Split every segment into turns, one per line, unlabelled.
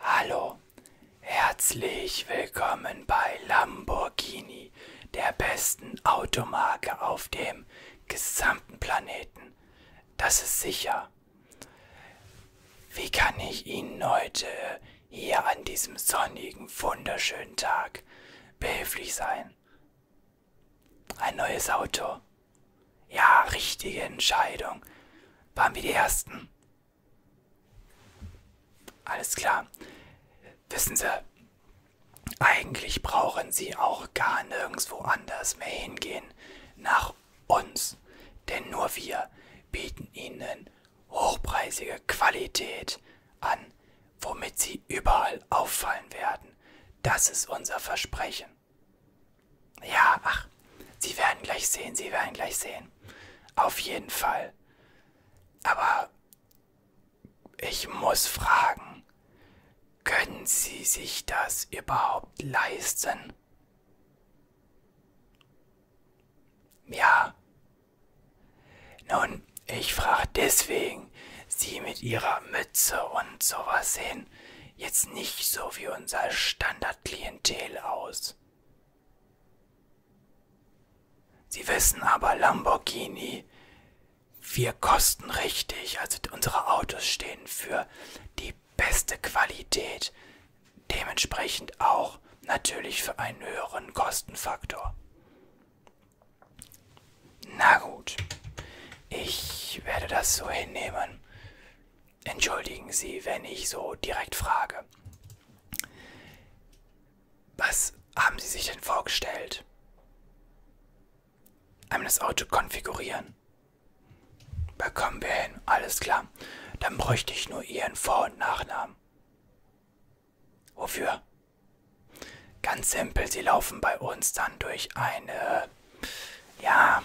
Hallo, herzlich willkommen bei Lamborghini, der besten Automarke auf dem gesamten Planeten. Das ist sicher. Wie kann ich Ihnen heute hier an diesem sonnigen, wunderschönen Tag behilflich sein? Ein neues Auto. Ja, richtige Entscheidung. Waren wir die Ersten? Alles klar. Wissen Sie, eigentlich brauchen Sie auch gar nirgendwo anders mehr hingehen nach uns. Denn nur wir bieten Ihnen hochpreisige Qualität an, womit Sie überall auffallen werden. Das ist unser Versprechen. Ja, ach, Sie werden gleich sehen, Sie werden gleich sehen. Auf jeden Fall. Aber ich muss fragen, können Sie sich das überhaupt leisten? Ja. Nun, ich frage deswegen, Sie mit Ihrer Mütze und sowas sehen jetzt nicht so wie unser Standardklientel aus. Sie wissen aber, Lamborghini, wir kosten richtig. Also unsere Autos stehen für die beste Qualität. Dementsprechend auch natürlich für einen höheren Kostenfaktor. Na gut, ich werde das so hinnehmen. Entschuldigen Sie, wenn ich so direkt frage. Was haben Sie sich denn vorgestellt? Einmal das Auto konfigurieren. Bekommen wir hin, alles klar. Dann bräuchte ich nur Ihren Vor- und Nachnamen. Wofür? Ganz simpel, Sie laufen bei uns dann durch eine, ja,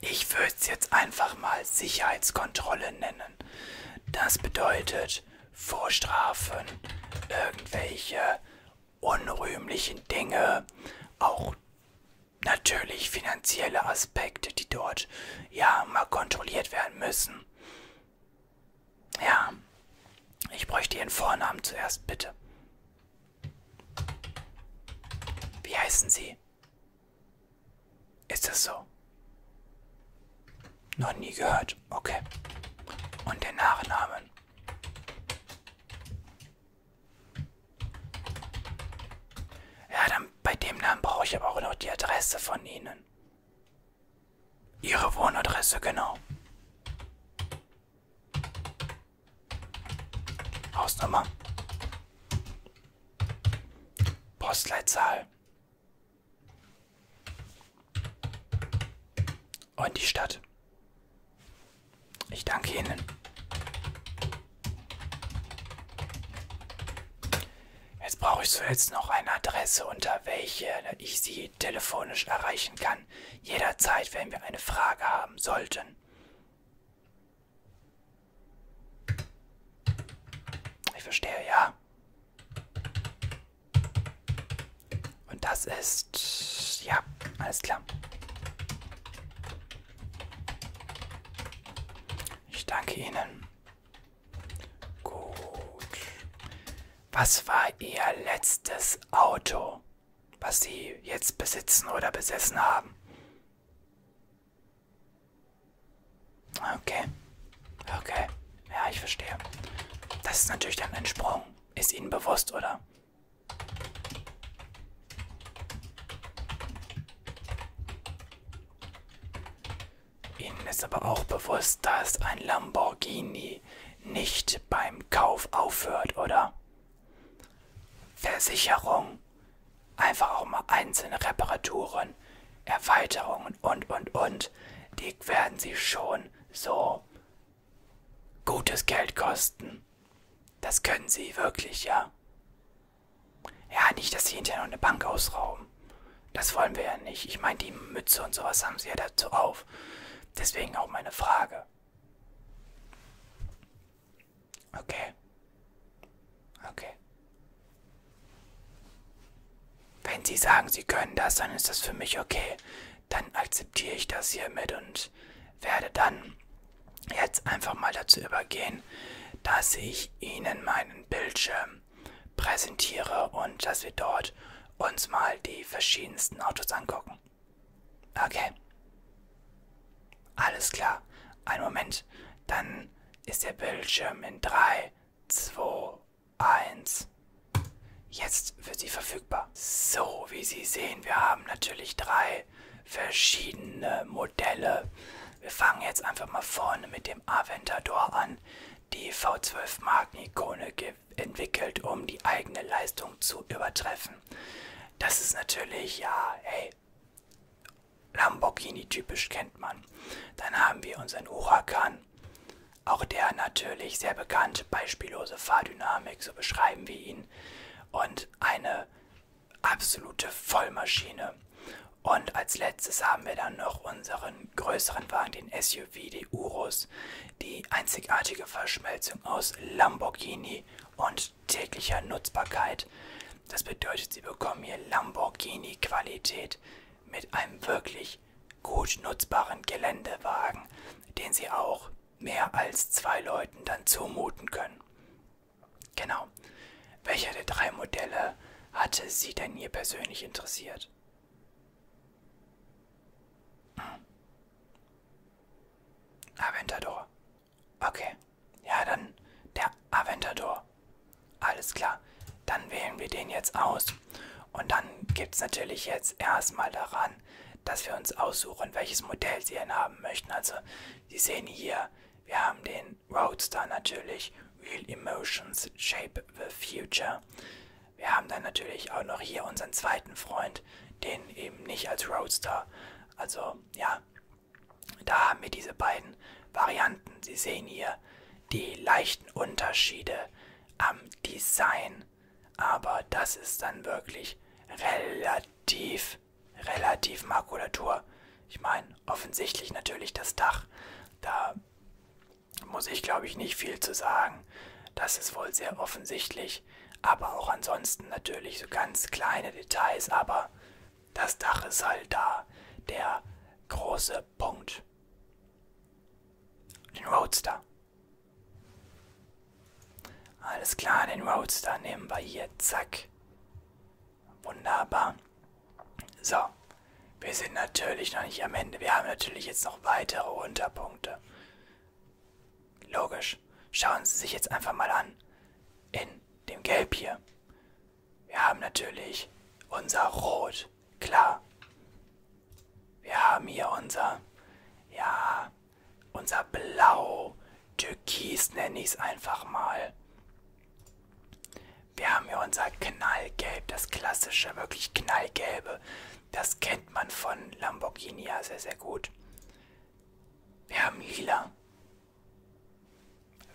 ich würde es jetzt einfach mal Sicherheitskontrolle nennen. Das bedeutet Vorstrafen, irgendwelche unrühmlichen Dinge, auch natürlich finanzielle Aspekte, die dort ja mal kontrolliert werden müssen. Ja, ich bräuchte Ihren Vornamen zuerst, bitte. Wie heißen Sie? Ist das so? Noch nie gehört. Okay. Und den Nachnamen. Ja, dann bei dem Namen brauche ich aber auch noch die Adresse von Ihnen. Ihre Wohnadresse, genau. Hausnummer. Postleitzahl. Und die Stadt. Ich danke Ihnen. Jetzt brauche ich zuletzt noch eine Adresse, unter welche ich Sie telefonisch erreichen kann. Jederzeit, wenn wir eine Frage haben sollten. Ich verstehe, ja. Und das ist... Ja, alles klar. Ich danke Ihnen. Gut. Was war Ihr letztes Auto, was Sie jetzt besitzen oder besessen haben? Okay. Okay. Ja, ich verstehe. Das ist natürlich dann ein Sprung. Ist Ihnen bewusst, oder? Ihnen ist aber auch bewusst, dass ein Lamborghini nicht beim Kauf aufhört, oder? Versicherung Einfach auch mal einzelne Reparaturen, Erweiterungen und, und, und. Die werden sie schon so gutes Geld kosten. Das können sie wirklich, ja. Ja, nicht, dass sie hinterher noch eine Bank ausrauben. Das wollen wir ja nicht. Ich meine, die Mütze und sowas haben sie ja dazu auf. Deswegen auch meine Frage. Okay. Okay. Wenn Sie sagen, Sie können das, dann ist das für mich okay. Dann akzeptiere ich das hiermit und werde dann jetzt einfach mal dazu übergehen, dass ich Ihnen meinen Bildschirm präsentiere und dass wir dort uns mal die verschiedensten Autos angucken. Okay. Alles klar. Ein Moment. Dann ist der Bildschirm in 3, 2, 1 jetzt für Sie verfügbar. So, wie Sie sehen, wir haben natürlich drei verschiedene Modelle. Wir fangen jetzt einfach mal vorne mit dem Aventador an. Die V12 Mark Nikone entwickelt, um die eigene Leistung zu übertreffen. Das ist natürlich, ja, hey, Lamborghini-typisch kennt man. Dann haben wir unseren Huracan. Auch der natürlich sehr bekannt, beispiellose Fahrdynamik, so beschreiben wir ihn. Und eine absolute Vollmaschine. Und als letztes haben wir dann noch unseren größeren Wagen, den SUV, die Urus. Die einzigartige Verschmelzung aus Lamborghini und täglicher Nutzbarkeit. Das bedeutet, sie bekommen hier Lamborghini-Qualität mit einem wirklich gut nutzbaren Geländewagen, den sie auch mehr als zwei Leuten dann zumuten können. Genau. Welcher der drei Modelle hatte sie denn hier persönlich interessiert? Hm. Aventador. Okay. Ja, dann der Aventador. Alles klar. Dann wählen wir den jetzt aus. Und dann gibt es natürlich jetzt erstmal daran, dass wir uns aussuchen, welches Modell Sie denn haben möchten. Also, Sie sehen hier, wir haben den Roadster natürlich. Real Emotions Shape the Future. Wir haben dann natürlich auch noch hier unseren zweiten Freund, den eben nicht als Roadster. Also, ja, da haben wir diese beiden Varianten. Sie sehen hier die leichten Unterschiede am Design. Aber das ist dann wirklich relativ, relativ Makulatur. Ich meine, offensichtlich natürlich das Dach. Da muss ich, glaube ich, nicht viel zu sagen. Das ist wohl sehr offensichtlich. Aber auch ansonsten natürlich so ganz kleine Details. Aber das Dach ist halt da. Der große Punkt. Den Roadster. Alles klar, den Roadster nehmen wir hier. Zack. Wunderbar. So. Wir sind natürlich noch nicht am Ende. Wir haben natürlich jetzt noch weitere Unterpunkte. Logisch. Schauen Sie sich jetzt einfach mal an. In dem Gelb hier. Wir haben natürlich unser Rot, klar. Wir haben hier unser, ja, unser Blau, Türkis nenne ich es einfach mal. Wir haben hier unser Knallgelb, das klassische, wirklich knallgelbe. Das kennt man von Lamborghini ja sehr, sehr gut. Wir haben Lila,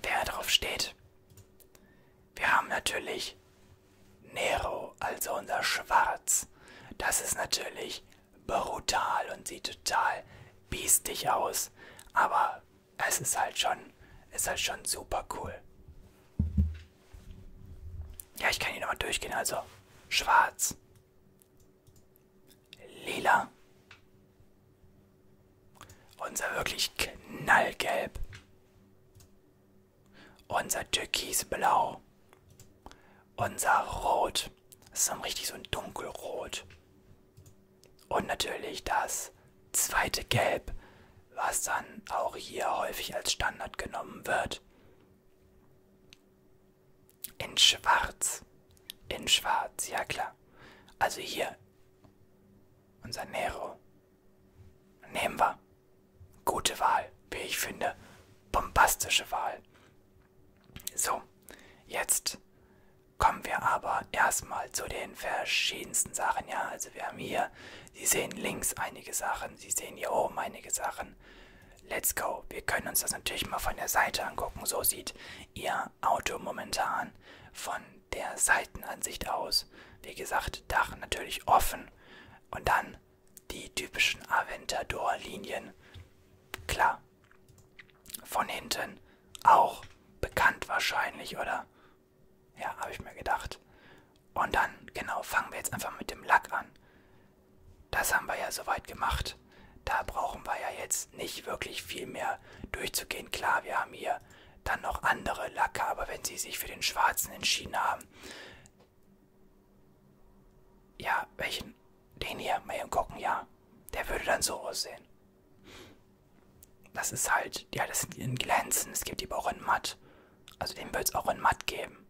Wer drauf steht? Wir haben natürlich Nero, also unser Schwarz. Das ist natürlich brutal und sieht total biestig aus. Aber es ist halt schon, ist halt schon super cool. Ja, ich kann hier nochmal durchgehen, also schwarz lila. Unser wirklich knallgelb. Unser türkisblau. Unser rot. Das ist dann richtig so ein dunkelrot. Und natürlich das zweite Gelb, was dann auch hier häufig als Standard genommen wird. In Schwarz. In Schwarz, ja klar. Also hier unser Nero. Nehmen wir. Gute Wahl, wie ich finde. Bombastische Wahl. So, jetzt kommen wir aber erstmal zu den verschiedensten Sachen. Ja, also wir haben hier, Sie sehen links einige Sachen, Sie sehen hier oben einige Sachen. Let's go. Wir können uns das natürlich mal von der Seite angucken. So sieht ihr Auto momentan von der Seitenansicht aus. Wie gesagt, Dach natürlich offen und dann die typischen Aventador-Linien. Klar, von hinten auch bekannt wahrscheinlich, oder? Ja, habe ich mir gedacht. Und dann, genau, fangen wir jetzt einfach mit dem Lack an. Das haben wir ja soweit gemacht. Da brauchen wir ja jetzt ist nicht wirklich viel mehr durchzugehen. Klar, wir haben hier dann noch andere Lacke, aber wenn sie sich für den schwarzen entschieden haben. Ja, welchen? Den hier, mal eben gucken, ja. Der würde dann so aussehen. Das ist halt, ja, das sind in Glänzen, es gibt die aber auch in Matt. Also den wird es auch in Matt geben.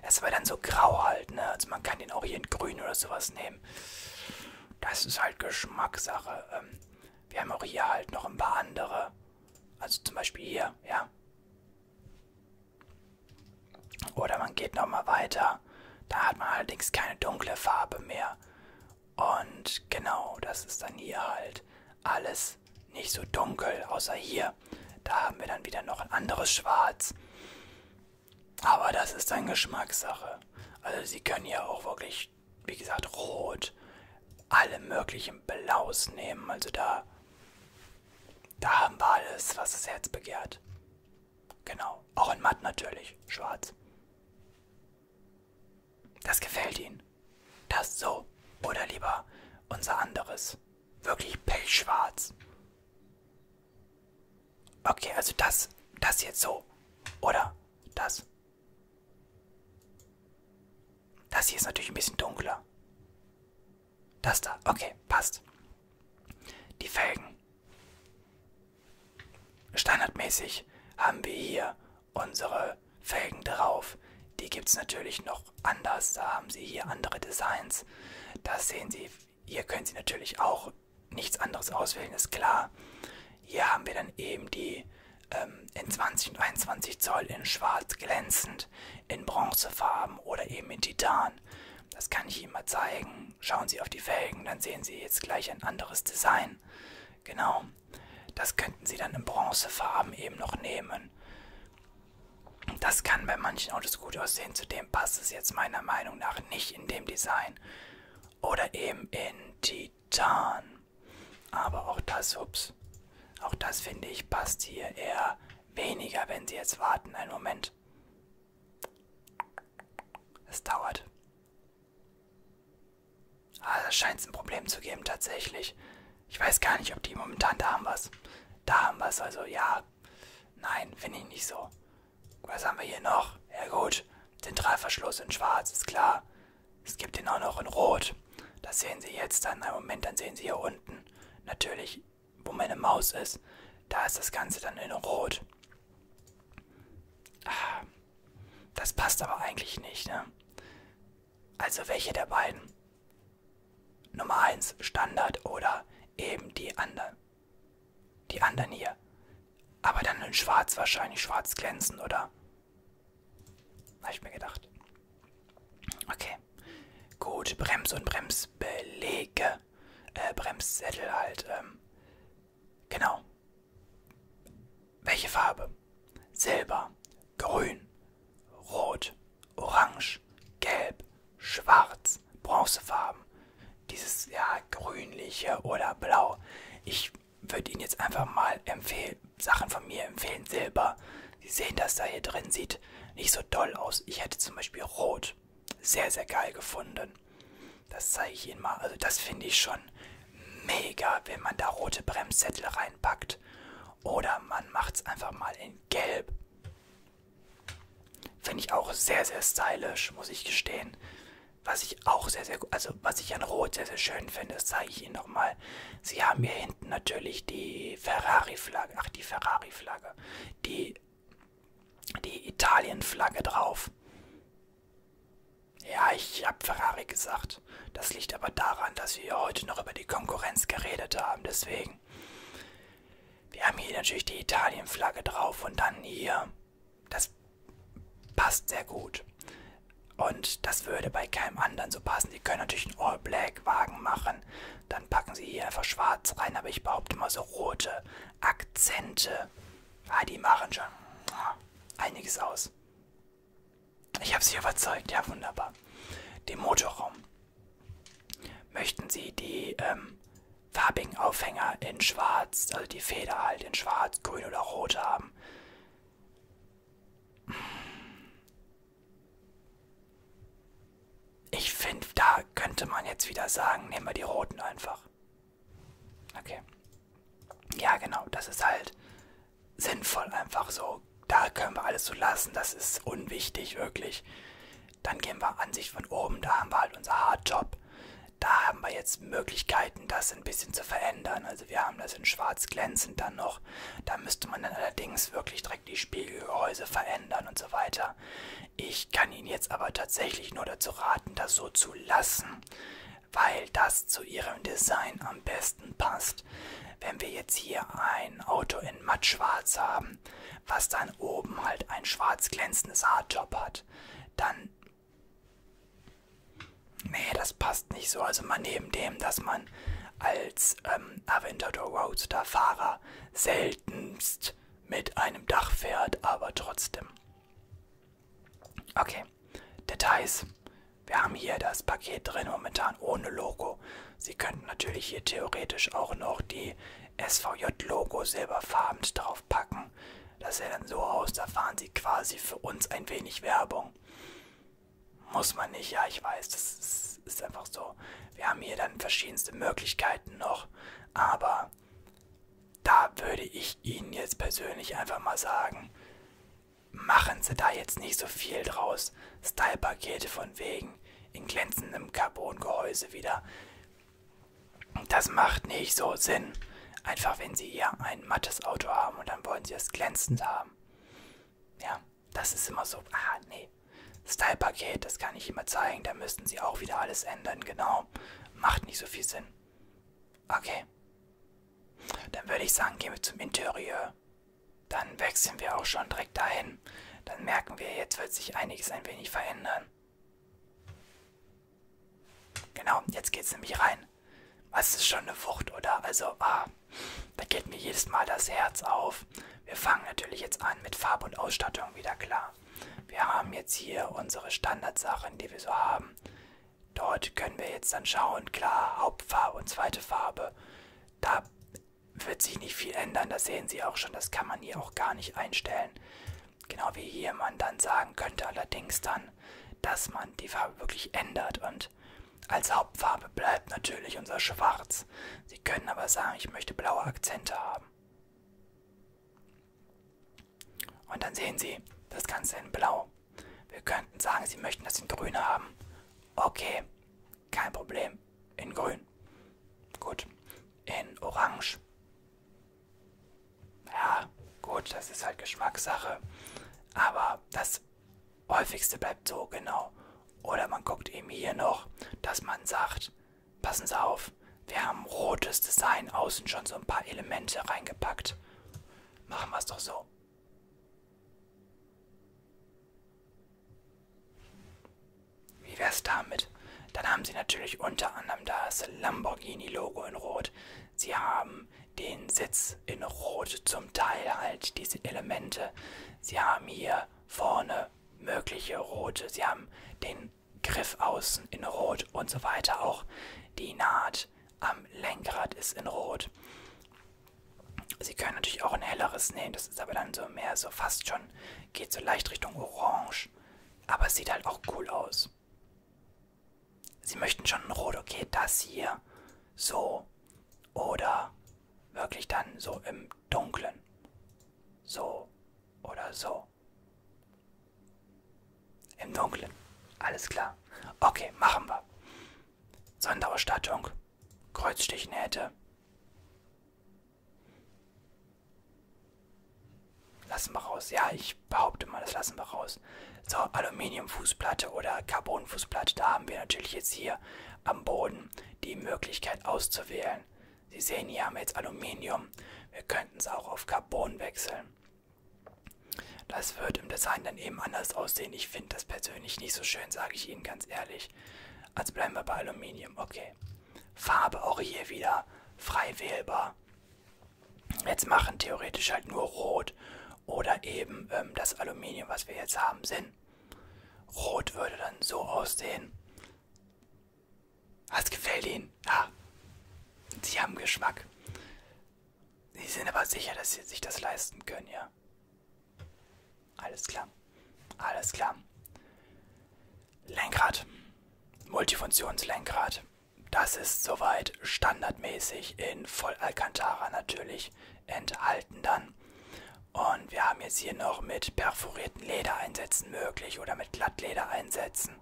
Er ist aber dann so grau halt, ne? Also man kann den auch hier in Grün oder sowas nehmen. Das ist halt Geschmackssache. Ähm, wir haben auch hier halt noch ein paar andere. Also zum Beispiel hier, ja. Oder man geht nochmal weiter. Da hat man allerdings keine dunkle Farbe mehr. Und genau, das ist dann hier halt alles nicht so dunkel, außer hier. Da haben wir dann wieder noch ein anderes Schwarz. Aber das ist dann Geschmackssache. Also sie können ja auch wirklich ich, wie gesagt, rot, alle möglichen Blaus nehmen. Also da, da haben wir alles, was das Herz begehrt. Genau, auch in matt natürlich, schwarz. Das gefällt ihnen. Das so. Oder lieber unser anderes. Wirklich pechschwarz. Okay, also das, das jetzt so. Oder das. Das hier ist natürlich ein bisschen dunkler. Das da, okay, passt. Die Felgen. Standardmäßig haben wir hier unsere Felgen drauf. Die gibt es natürlich noch anders. Da haben Sie hier andere Designs. Das sehen Sie. Hier können Sie natürlich auch nichts anderes auswählen, ist klar. Hier haben wir dann eben die ähm, in 20 und 21 Zoll in schwarz glänzend, in Bronzefarben oder eben in Titan. Das kann ich Ihnen mal zeigen. Schauen Sie auf die Felgen, dann sehen Sie jetzt gleich ein anderes Design. Genau, das könnten Sie dann in Bronzefarben eben noch nehmen. Das kann bei manchen Autos gut aussehen, zudem passt es jetzt meiner Meinung nach nicht in dem Design. Oder eben in die Titan. Aber auch das, ups, auch das finde ich passt hier eher weniger, wenn sie jetzt warten. Einen Moment. Es dauert. Ah, da scheint es ein Problem zu geben, tatsächlich. Ich weiß gar nicht, ob die momentan da haben was. Da haben was, also ja. Nein, finde ich nicht so. Was haben wir hier noch? Ja gut, Zentralverschluss in schwarz, ist klar. Es gibt den auch noch in rot. Das sehen Sie jetzt dann. Einen Moment, dann sehen Sie hier unten. Natürlich, wo meine Maus ist, da ist das Ganze dann in rot. Ah, das passt aber eigentlich nicht, ne? Also welche der beiden? Nummer 1 Standard oder eben die anderen? Die anderen hier. Aber dann in schwarz wahrscheinlich, schwarz glänzend, oder? Habe ich mir gedacht. Okay. Gut, Brems- und Bremsbelege. Äh, Bremssättel halt. Ähm. Genau. Welche Farbe? Silber, Grün, Rot, Orange, Gelb, Schwarz, Bronzefarben. Dieses, ja, grünliche oder blau. Ich würde Ihnen jetzt einfach mal empfehlen, Sachen von mir empfehlen, Silber. Sie sehen, dass da hier drin sieht nicht so doll aus. Ich hätte zum Beispiel Rot sehr, sehr geil gefunden. Das zeige ich Ihnen mal. Also das finde ich schon mega, wenn man da rote Bremssättel reinpackt. Oder man macht es einfach mal in Gelb. Finde ich auch sehr, sehr stylisch, muss ich gestehen. Was ich auch sehr, sehr gut, also was ich an Rot sehr, sehr schön finde, das zeige ich Ihnen nochmal. Sie haben hier hinten natürlich die Ferrari-Flagge, ach die Ferrari-Flagge, die, die Italien-Flagge drauf. Ja, ich habe Ferrari gesagt. Das liegt aber daran, dass wir heute noch über die Konkurrenz geredet haben, deswegen. Wir haben hier natürlich die Italien-Flagge drauf und dann hier das passt sehr gut. Und das würde bei keinem anderen so passen. Sie können natürlich einen All-Black-Wagen machen. Dann packen sie hier einfach schwarz rein. Aber ich behaupte mal so rote Akzente. Ah, die machen schon einiges aus. Ich habe sie überzeugt. Ja, wunderbar. Den Motorraum. Möchten Sie die ähm, farbigen Aufhänger in schwarz, also die Feder halt in schwarz? schwarz, grün oder rot haben. Ich finde, da könnte man jetzt wieder sagen, nehmen wir die roten einfach. Okay. Ja, genau, das ist halt sinnvoll einfach so. Da können wir alles so lassen, das ist unwichtig wirklich. Dann gehen wir Ansicht von oben, da haben wir halt unser Hardtop. Da haben wir jetzt Möglichkeiten, das ein bisschen zu verändern. Also wir haben das in schwarz glänzend dann noch. Da müsste man dann allerdings wirklich direkt die Spiegelgehäuse verändern und so weiter. Ich kann Ihnen jetzt aber tatsächlich nur dazu raten, das so zu lassen, weil das zu Ihrem Design am besten passt. Wenn wir jetzt hier ein Auto in mattschwarz haben, was dann oben halt ein schwarz glänzendes Hardtop hat, dann Nee, das passt nicht so. Also mal neben dem, dass man als ähm, Aventador Roadster Fahrer seltenst mit einem Dach fährt, aber trotzdem. Okay, Details. Wir haben hier das Paket drin, momentan ohne Logo. Sie könnten natürlich hier theoretisch auch noch die SVJ-Logo silberfarben draufpacken machen. Das sähe dann so aus, da fahren sie quasi für uns ein wenig Werbung. Muss man nicht, ja, ich weiß, das ist, ist einfach so. Wir haben hier dann verschiedenste Möglichkeiten noch, aber da würde ich Ihnen jetzt persönlich einfach mal sagen, machen Sie da jetzt nicht so viel draus. Style-Pakete von wegen in glänzendem Carbon-Gehäuse wieder. Das macht nicht so Sinn. Einfach wenn sie ja ein mattes Auto haben und dann wollen sie es glänzend haben. Ja, das ist immer so. Ah, nee. Style-Paket, das kann ich immer zeigen. Da müssten sie auch wieder alles ändern. Genau. Macht nicht so viel Sinn. Okay. Dann würde ich sagen, gehen wir zum Interieur. Dann wechseln wir auch schon direkt dahin. Dann merken wir, jetzt wird sich einiges ein wenig verändern. Genau, jetzt geht's nämlich rein. Was ist schon eine Wucht, oder? Also, ah, da geht mir jedes Mal das Herz auf. Wir fangen natürlich jetzt an mit Farbe und Ausstattung wieder klar. Wir haben jetzt hier unsere Standardsachen, die wir so haben. Dort können wir jetzt dann schauen, klar, Hauptfarbe und zweite Farbe. Da wird sich nicht viel ändern, das sehen Sie auch schon, das kann man hier auch gar nicht einstellen. Genau wie hier man dann sagen könnte allerdings dann, dass man die Farbe wirklich ändert und als Hauptfarbe bleibt natürlich unser Schwarz. Sie können aber sagen, ich möchte blaue Akzente haben. Und dann sehen Sie das Ganze in Blau. Wir könnten sagen, Sie möchten das in Grün haben. Okay, kein Problem. In Grün. Gut. In Orange. Ja, gut, das ist halt Geschmackssache. Aber das häufigste bleibt so genau. Oder man guckt eben hier noch, dass man sagt, passen Sie auf, wir haben rotes Design außen schon so ein paar Elemente reingepackt. Machen wir es doch so. Wie wär's damit? Dann haben sie natürlich unter anderem das Lamborghini-Logo in Rot. Sie haben den Sitz in Rot, zum Teil halt diese Elemente. Sie haben hier vorne mögliche Rote. Sie haben den Griff außen in Rot und so weiter. Auch die Naht am Lenkrad ist in Rot. Sie können natürlich auch ein helleres nehmen, das ist aber dann so mehr so fast schon, geht so leicht Richtung Orange. Aber es sieht halt auch cool aus aus. Sie möchten schon ein Rot, okay, das hier. So. Oder wirklich dann so im Dunklen. So. Oder so. Im Dunklen. Alles klar. Okay, machen wir. Sonderausstattung. Kreuzstichnähte. Lassen wir raus. Ja, ich behaupte mal, das lassen wir raus. So, Aluminiumfußplatte oder Carbonfußplatte. Da haben wir natürlich jetzt hier am Boden die Möglichkeit auszuwählen. Sie sehen, hier haben wir jetzt Aluminium. Wir könnten es auch auf Carbon wechseln. Das wird im Design dann eben anders aussehen. Ich finde das persönlich nicht so schön, sage ich Ihnen ganz ehrlich. Also bleiben wir bei Aluminium. Okay. Farbe auch hier wieder frei wählbar jetzt machen theoretisch halt nur Rot oder eben ähm, das Aluminium, was wir jetzt haben, Sinn. Rot würde dann so aussehen. Was gefällt Ihnen? Ja, Sie haben Geschmack. Sie sind aber sicher, dass Sie sich das leisten können, ja? Alles klar. Alles klar. Lenkrad. Multifunktionslenkrad. Das ist soweit standardmäßig in Voll Alcantara natürlich enthalten dann. Und wir haben jetzt hier noch mit perforierten Ledereinsätzen möglich oder mit Glattledereinsätzen.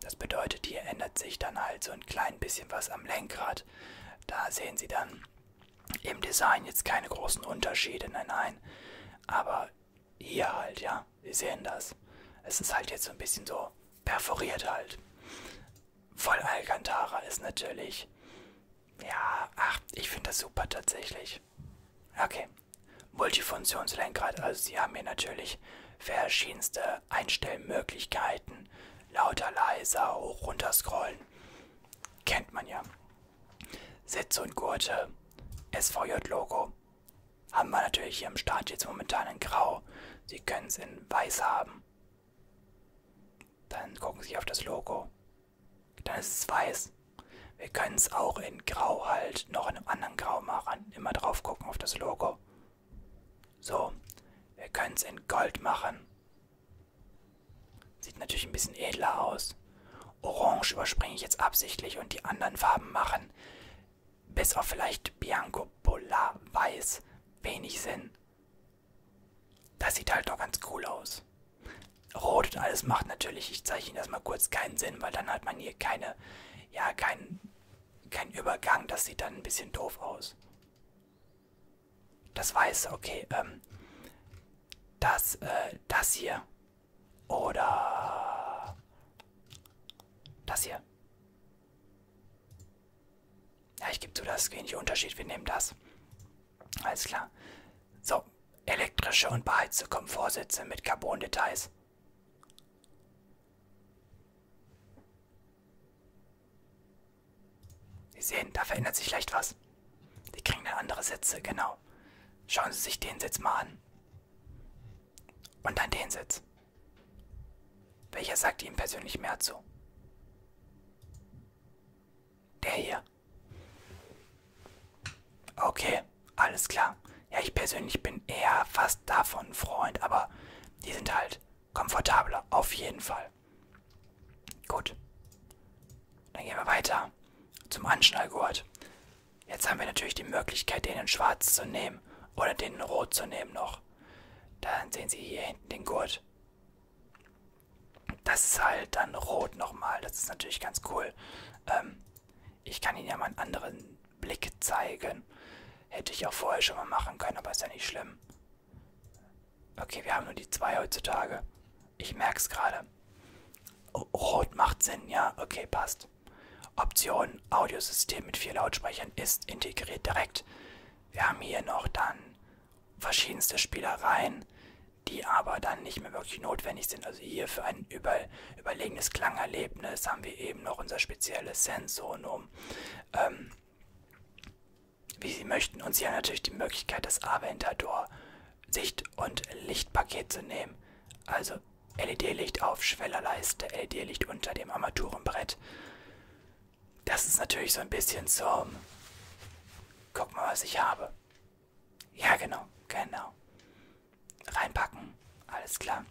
Das bedeutet, hier ändert sich dann halt so ein klein bisschen was am Lenkrad. Da sehen Sie dann im Design jetzt keine großen Unterschiede, nein, nein. Aber hier halt, ja. Sie sehen das. Es ist halt jetzt so ein bisschen so perforiert halt. Voll Alcantara ist natürlich. Ja, ach, ich finde das super tatsächlich. Okay. Multifunktionslenkrad, also Sie haben hier natürlich verschiedenste Einstellmöglichkeiten. Lauter, leiser, hoch, runter scrollen. Kennt man ja. Sitze und Gurte, SVJ-Logo, haben wir natürlich hier im Start jetzt momentan in Grau. Sie können es in Weiß haben. Dann gucken Sie auf das Logo. Dann ist es Weiß. Wir können es auch in Grau halt noch in einem anderen Grau machen. Immer drauf gucken auf das Logo. So, wir können es in Gold machen. Sieht natürlich ein bisschen edler aus. Orange überspringe ich jetzt absichtlich und die anderen Farben machen bis auf vielleicht Bianco Bulla Weiß wenig Sinn. Das sieht halt doch ganz cool aus. Rot und alles macht natürlich, ich zeige Ihnen das mal kurz, keinen Sinn, weil dann hat man hier keine, ja, keinen kein Übergang. Das sieht dann ein bisschen doof aus. Das Weiße, okay, ähm, das, äh, das hier oder das hier. Ja, ich gebe zu, das ist wenig Unterschied. Wir nehmen das. Alles klar. So, elektrische und beheizte Komfortsitze mit Carbon-Details. Sie sehen, da verändert sich leicht was. Die kriegen dann andere Sitze, genau. Schauen Sie sich den Sitz mal an. Und dann den Sitz. Welcher sagt ihm persönlich mehr zu? Der hier. Okay, alles klar. Ja, ich persönlich bin eher fast davon ein Freund, aber die sind halt komfortabler, auf jeden Fall. Gut. Dann gehen wir weiter zum Anschnallgurt. Jetzt haben wir natürlich die Möglichkeit, den in schwarz zu nehmen oder den in rot zu nehmen noch. Dann sehen Sie hier hinten den Gurt. Das ist halt dann rot nochmal. Das ist natürlich ganz cool. Ähm, ich kann Ihnen ja mal einen anderen Blick zeigen. Hätte ich auch vorher schon mal machen können, aber ist ja nicht schlimm. Okay, wir haben nur die zwei heutzutage. Ich merke es gerade. Oh, rot macht Sinn, ja. Okay, passt. Option Audiosystem mit vier Lautsprechern ist integriert direkt. Wir haben hier noch dann verschiedenste Spielereien, die aber dann nicht mehr wirklich notwendig sind. Also hier für ein über, überlegenes Klangerlebnis haben wir eben noch unser spezielles Sensonum. Ähm, wie Sie möchten. Und Sie haben natürlich die Möglichkeit, das Aventador Sicht- und Lichtpaket zu nehmen. Also LED-Licht auf Schwellerleiste, LED-Licht unter dem Armaturenbrett. Das ist natürlich so ein bisschen zum. Guck mal, was ich habe. Ja, genau, genau. Reinpacken, alles klar.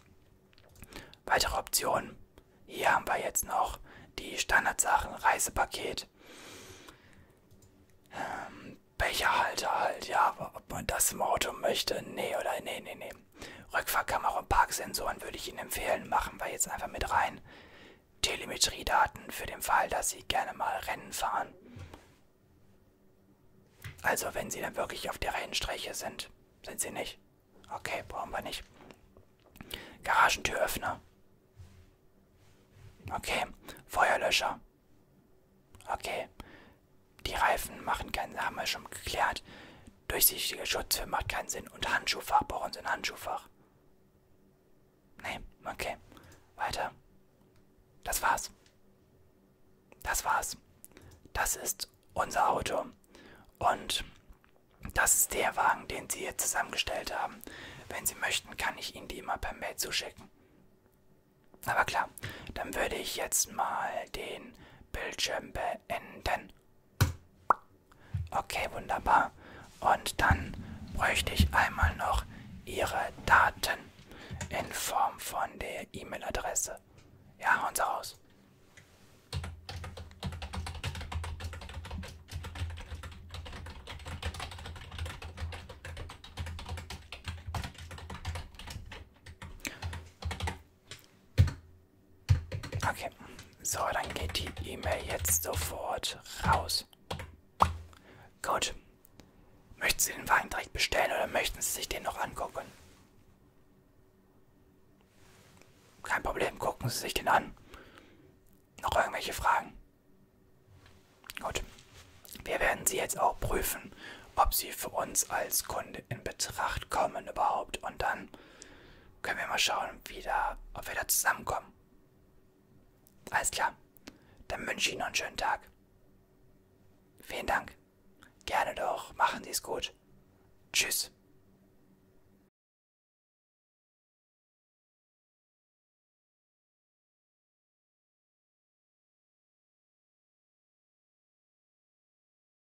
Weitere Optionen. Hier haben wir jetzt noch die Standardsachen, Reisepaket. Ähm, Becherhalter halt, ja, aber ob man das im Auto möchte, nee oder nee, nee, nee. Rückfahrkamera und Parksensoren würde ich Ihnen empfehlen. Machen wir jetzt einfach mit rein. Telemetriedaten für den Fall, dass Sie gerne mal Rennen fahren. Also wenn Sie dann wirklich auf der Rennstrecke sind. Sind Sie nicht? Okay, brauchen wir nicht. Garagentüröffner. Okay, Feuerlöscher. Okay, die Reifen machen keinen, haben wir schon geklärt. Durchsichtige Schutzfilm macht keinen Sinn. Und Handschuhfach, brauchen Sie ein Handschuhfach? Nee, okay. Weiter. Das war's. Das war's. Das ist unser Auto. Und das ist der Wagen, den Sie jetzt zusammengestellt haben. Wenn Sie möchten, kann ich Ihnen die immer per Mail zuschicken. Aber klar, dann würde ich jetzt mal den Bildschirm beenden. Okay, wunderbar. Und dann bräuchte ich einmal noch Ihre Daten in Form von der E-Mail-Adresse. Ja, hauen Sie raus. Okay. So, dann geht die E-Mail jetzt sofort raus. Gut. Möchten Sie den Wagen direkt bestellen oder möchten Sie sich den noch angucken? Kein Problem, gucken Sie sich den an. Noch irgendwelche Fragen? Gut. Wir werden Sie jetzt auch prüfen, ob Sie für uns als Kunde in Betracht kommen überhaupt. Und dann können wir mal schauen, wie da, ob wir da zusammenkommen. Alles klar. Dann wünsche ich Ihnen noch einen schönen Tag. Vielen Dank. Gerne doch. Machen Sie es gut. Tschüss.